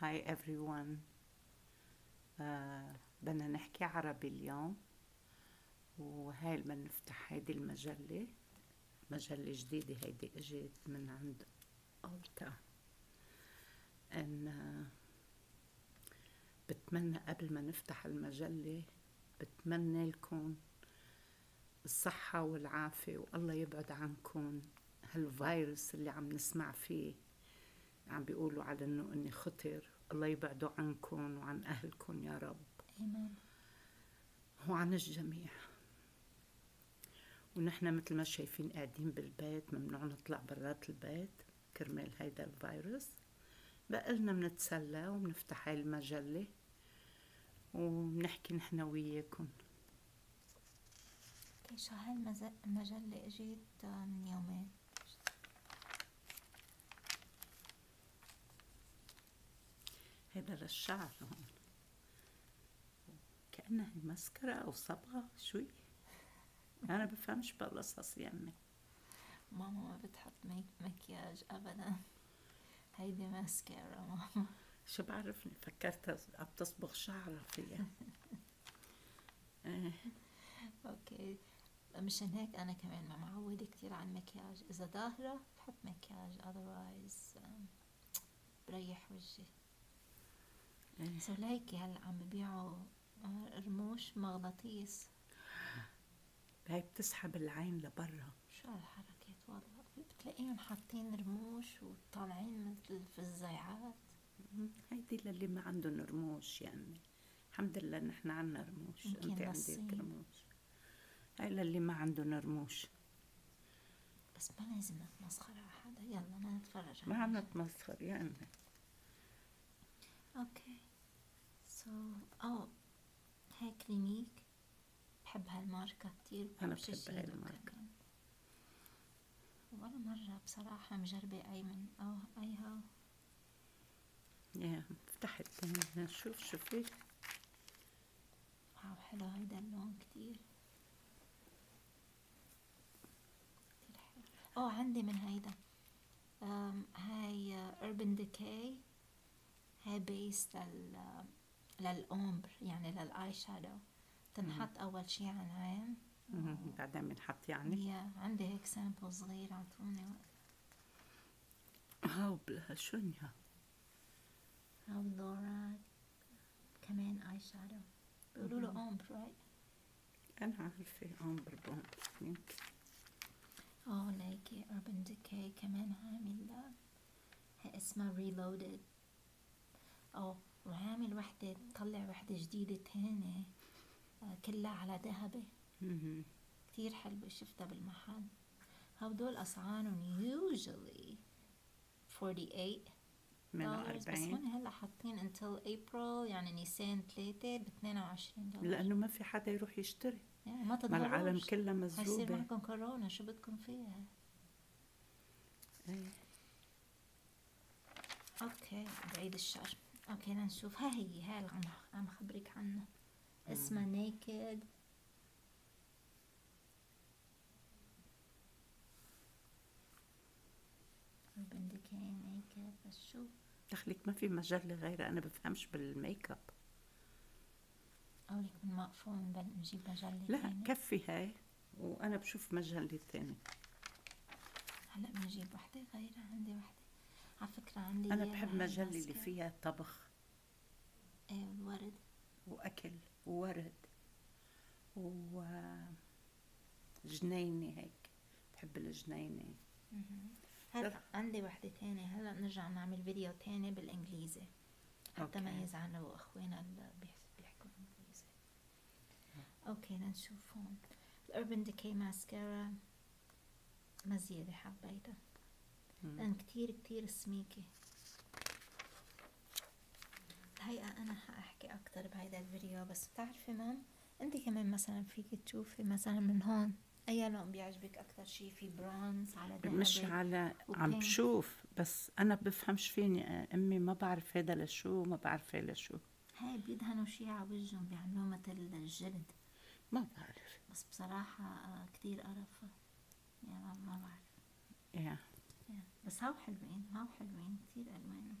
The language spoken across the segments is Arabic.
هاي everyone آه بدنا نحكي عربي اليوم وهاي بدنا نفتح هيدي المجلة مجلة جديدة هيدي اجت من عند ألتا ان آه، بتمنى قبل ما نفتح المجلة بتمنى لكم الصحة والعافية والله يبعد عنكم هالفيروس اللي عم نسمع فيه عم بيقولوا على انه اني خطر الله يبعده عنكم وعن اهلكم يا رب امين وعن الجميع ونحن مثل ما شايفين قاعدين بالبيت ممنوع نطلع برات البيت كرمال هيدا الفيروس بقلنا بنتسلى وبنفتح هاي المجلة وبنحكي نحن وياكم كيشا طيب، هالمجلة اجيت آه، من يومين هذا للشعر هون كأنها مسكرة أو صبغة شوي أنا بفهمش بالقصص يا أمي يعني. ماما ما بتحط مكياج أبدا هيدي ماسكة ماما شو بعرفني فكرتها عم تصبغ شعرها فيها آه. اوكي مشان هيك انا كمان ما معوده كثير على المكياج اذا ظاهره بحط مكياج otherwise بريح وجهي آه. سو ليكي هلا عم ببيعوا آه، رموش مغناطيس هيك بتسحب العين لبرا شو هالحركات والله بتلاقيهم حاطين رموش وطالعين مثل الفزيعات هيدي للي ما عندهم رموش يعني الحمد لله نحن عندنا رموش انت عندك رموش هاي للي ما عندهم رموش بس ما لازم نتمسخر على حدا يلا انا نتفرج ما عم نتمسخر يعني اوكي سو او oh، هيك كلينيك بحب هالماركة كتير أنا بحب هاي الماركة ولا مرة بصراحة مجربة أي من أو أي هاو يا فتحت يعني، شوف شوفي واو حلو هيدا اللون كتير أو عندي من هيدا هاي urban ديكاي هاي بيس لل للأومبر يعني للآي شادو تنحط أول شيء على العين بعدين بنحط يعني يا عندي هيك سامبل صغير اعطوني هاو بلا شنيا هاو لورا كمان اي شادو بيقولوا له اومبر انا عارفه اومبر بومبر يمكن اه لايكي اربن ديكي كمان عامل اسمها ريلودد أو وعامل وحدة طلع وحدة جديدة ثانيه آه، كلها على ذهبة كثير حلوة شفتها بالمحل هودول أسعارهم usually 48 من 40 هلا حاطين until April يعني نيسان 3 ب 22 دولار لأنه ما في حدا يروح يشتري يعني ما تضغروش ما العالم كلها مسجوبة هيصير معكم كورونا شو بدكم فيها ايه اوكي بعيد الشر اوكي لنشوف ها هي ها اللي عم خبرك عنها اسمها نيكد بدك اياه ميك بس شو دخلك ما في مجال غيرها انا بفهمش بالميك اب لا تاني. كفي هاي وأنا بشوف مجلة ثانية هلا بنجيب وحدة غير عندي وحدة على فكرة عندي أنا بحب مجلة اللي فيها طبخ إيه، ورد وأكل وورد وجنينة هيك بحب الجنينة هلا عندي وحدة ثانيه هلا بنرجع نعمل فيديو ثاني بالإنجليزي حتى ما يزعلوا اخواننا اللي بيحكوا انجليزي اوكي لنشوف هون الاربن ديكي ماسكارا مزيادة حبيتها لان كثير كثير سميكة الحقيقة انا حاحكي اكثر بهيدا الفيديو بس بتعرفي مام انت كمان مثلا فيك تشوفي مثلا من هون اي لون بيعجبك اكثر شيء في برونز على ذهبي مش على عم بشوف بس انا بفهمش فيني امي ما بعرف هذا لشو ما بعرف هذا لشو هاي بيدهنوا شيء على وجههم بيعملوا مثل الجلد ما بعرف بس بصراحة آه، كثير قرف يعني ما بعرف يا بس هاو حلوين هاو حلوين كثير ألوانهم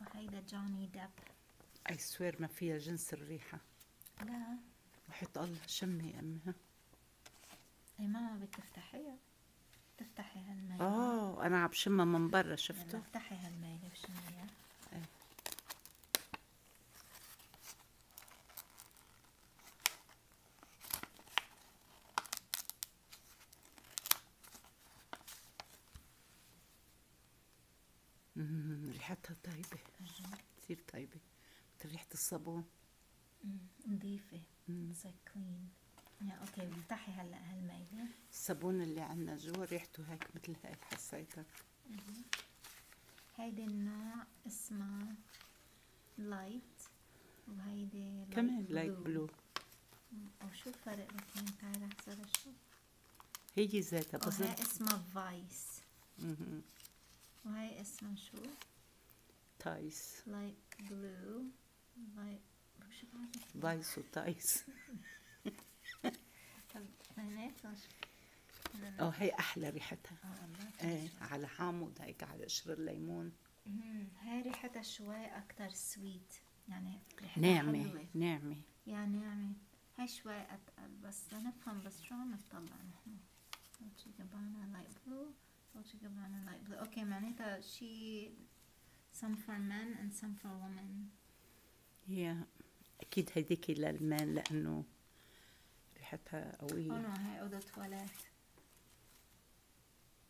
وهيدا جوني ديب اي سوير ما فيها جنس الريحه لا وحيط الله شمي يا امها اي ماما بتفتحيها بتفتحي تفتحي اوه آه، انا عم شمها من برا شفته افتحي هالمي وشميها ريحتها طيبة كثير طيبة مثل ريحة الصابون نظيفة اتس كلين اوكي افتحي هلا هالميلة الصابون اللي عندنا جوا ريحته هيك مثل هيك حسيتها هيدي النوع اسمها لايت وهيدي كمان لايت بلو أو شو الفرق بين تعال هسه شوف هي ذاتها بس وهي اسمها فايس اها وهي اسمها شو؟ تايس لايت بلو لايت شو بعرف فايس وتايس طب معناتها اه هي احلى ريحتها آه، ايه على حامض هيك على قشر الليمون هاي ريحتها شوي اكثر سويت يعني نعمة ناعمة يا ناعمة هاي شوي أتقل بس نفهم بس شلون نطلع نحن وجهي جبانة لايت بلو وجهي جبانة لايت بلو أوكي معناتها شي some for men and some for women yeah أكيد هيديك للمان لأنه ريحتها قوية oh no هاي أوضة تواليت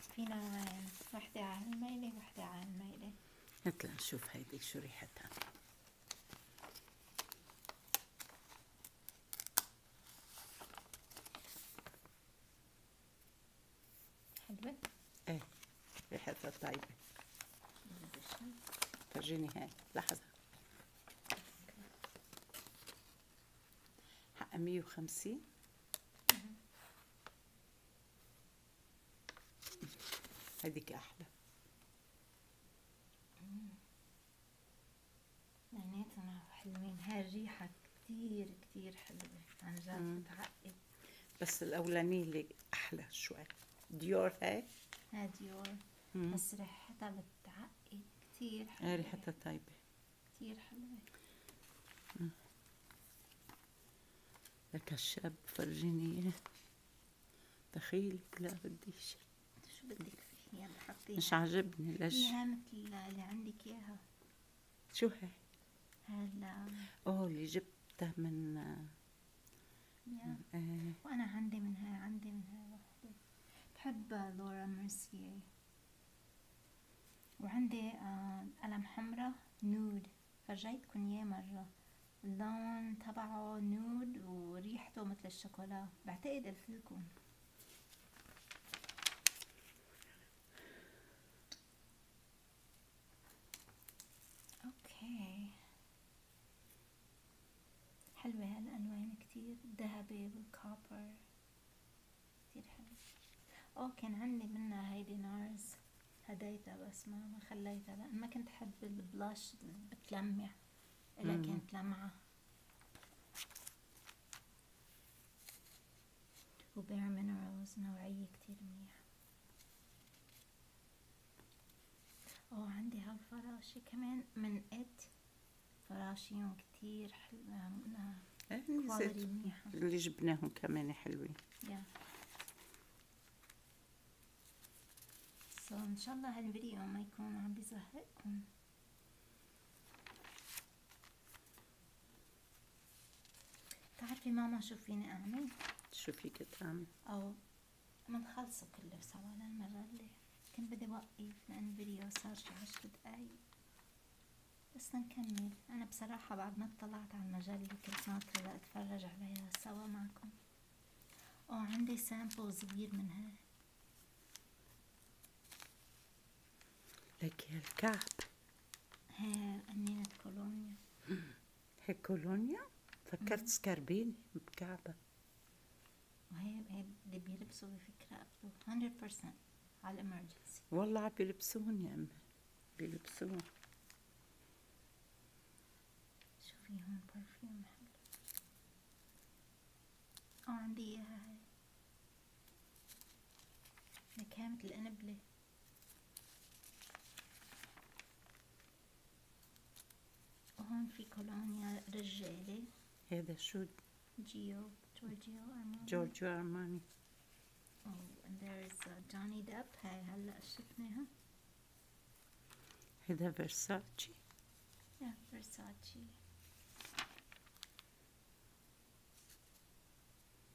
في نوعين وحدة على الميلة وحدة على الميلة هاتلا نشوف هيدي شو ريحتها حلوة؟ ايه ريحتها طيبة فرجيني هاي لحظة حقها مية وخمسين هديك احلى معناتها حلوين هاي الريحه كتير كتير حلوه عن جد بتعقد بس الاولانيه اللي احلى شوي ديور هاي هاي ديور مم. بس ريحتها بتعقد كتير حلوه ريحتها طيبه كتير حلوه لك الشاب فرجيني اياه دخيلك لا بديش شو بدك فيه يلا حطيها مش عاجبني ليش فيها مثل اللي عندك اياها شو هي؟ هلا اوه اللي جبتها من ايه وانا عندي من هاي عندي من هاي وحده بحب لورا ميرسيي وعندي آه، قلم حمرة نود فرجيتكن ياه مرة اللون تبعه نود وريحته مثل الشوكولا بعتقد قلتلكم اوكي حلوة هالألوان كتير ذهبي والكوبر كتير حلو اه كان عندي منها هيدي نارز هديتها بس ما خليتها لان ما كنت حب البلاش بتلمع الا كانت لمعة وبير مينرالز نوعية كتير منيح اه عندي هالفراشة كمان من ات فراشيون كتير حلوة آه، إيه، كواليتي منيحه اللي جبناهم كمان حلوين يا سو ان شاء الله هالفيديو ما يكون عم بيزهقكم بتعرفي ماما شو فيني اعمل شو فيك تعمل او منخلصه كله سوا للمره اللي كنت بدي وقف لان الفيديو صار شي عشر دقايق بس نكمل انا بصراحة بعد ما اطلعت على المجال اللي كنت ناطرة لاتفرج عليها سوا معكم وعندي عندي سامبل صغير منها لك هالكعب الكعب هي قنينة كولونيا هي كولونيا فكرت سكربيني بكعبة وهي اللي بيلبسوا بفكرة 100% على الامرجنسي والله بيلبسوهم يا امي بيلبسوهم شوفي هون برفيوم حلو اه عندي اياها هاي نكهة مثل الانبلة وهون في كولونيا رجالة هذا شو جيو جورجيو ارماني جورجيو ارماني Oh, and there uh, هلا شفناها هذا فيرساتشي yeah فيرساتشي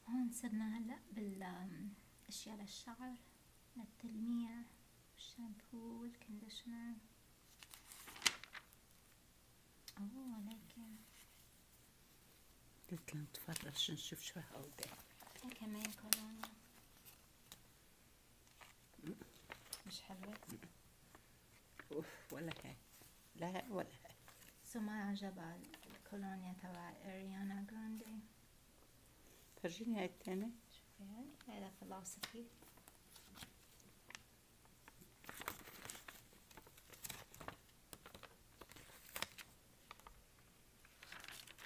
هون صرنا هلا بالاشياء للشعر للتلميع الشامبو والكنديشنر اوه لكن قلت لها نتفرج نشوف شو هودي كمان كولونا مش حلوة اوف ولا هاي لا ولا هاي سو ما عجبها الكولونيا تبع اريانا جراندي فرجيني هاي التانية شوفي هاي هذا فلوسفي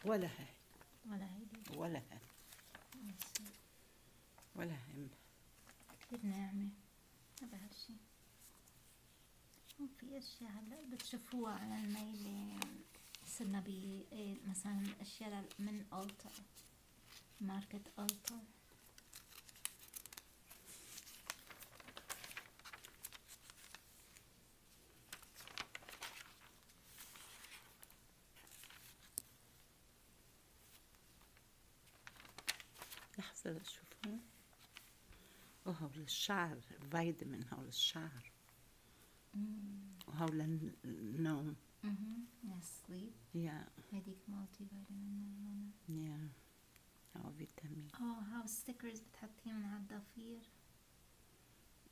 ولا هاي ولا هاي ولا هاي ولا هم كتير ناعمة ما شي في أشياء هلا بتشوفوها على الميلة إيه، صرنا ب إيه، مثلا أشياء من التر ماركة التر لحظة لشوفها وهو للشعر فيتامين هو للشعر النوم للنوم Mm-hmm. And sleep. Yeah. Medic multivitamin. Yeah. اه فيتامين اه هاوس ستيكرز بتحطيه على الضفير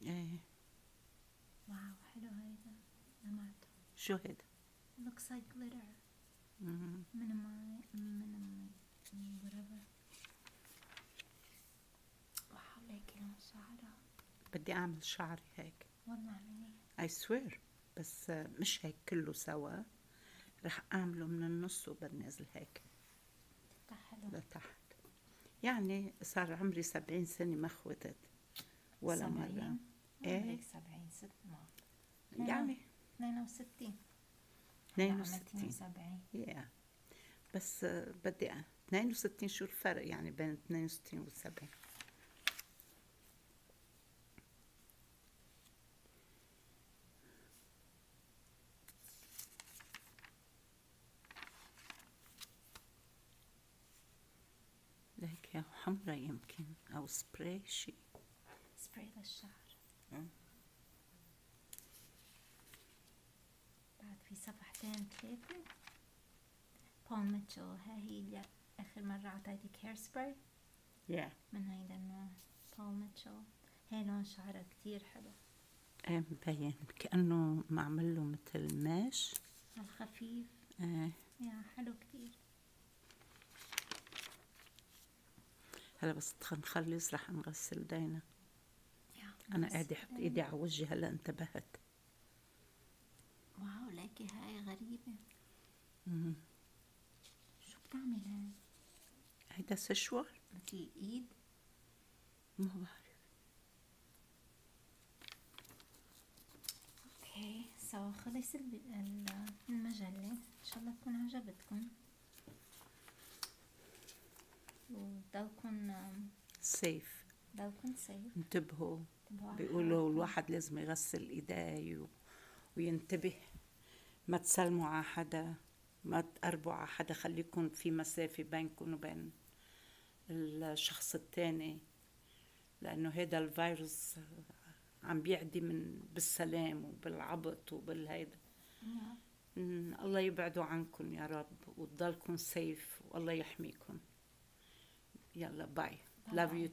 ايه واو حلو هيدا لمعته شو هيدا؟ لوكس like جلتر من ماي من ماي whatever واو لكن شعرها بدي اعمل شعري هيك والله اعمليه I swear بس مش هيك كله سوا رح اعمله من النص وبنزل هيك لحلو. لتحت يعني صار عمري سبعين سنة ما خوتت ولا سبعين. مرة ايه هيك سبعين ست ما يعني 62 62 70 يا بس بدي 62 شو الفرق يعني بين 62 و 70 لهيك حمرة يمكن أو سبراي شي سبراي للشعر أه. بعد في صفحتين ثلاثة بول ميتشل ها هي آخر مرة عطيتك هير سبراي yeah. من هيدا النوع بول ميتشل هي لون شعره كتير حلو ايه مبين كأنه معمل له مثل ماش الخفيف ايه يا حلو كتير هلا بس نخلص رح نغسل دينا انا قاعده احط ايدي على وجهي هلا انتبهت واو لكن هاي غريبه شو بتعمل هاي؟ هيدا سشوار مثل الايد ما بعرف اوكي سو خلص المجلة ان شاء الله تكون عجبتكم وضلكم سيف ضلكم سيف انتبهوا بيقولوا الواحد لازم يغسل ايديه وينتبه ما تسلموا على حدا ما تقربوا على حدا خليكم في مسافة بينكم وبين الشخص الثاني لأنه هيدا الفيروس عم بيعدي من بالسلام وبالعبط وبالهيدا نعم. الله يبعده عنكم يا رب وتضلكم سيف والله يحميكم يلا باي لاف يو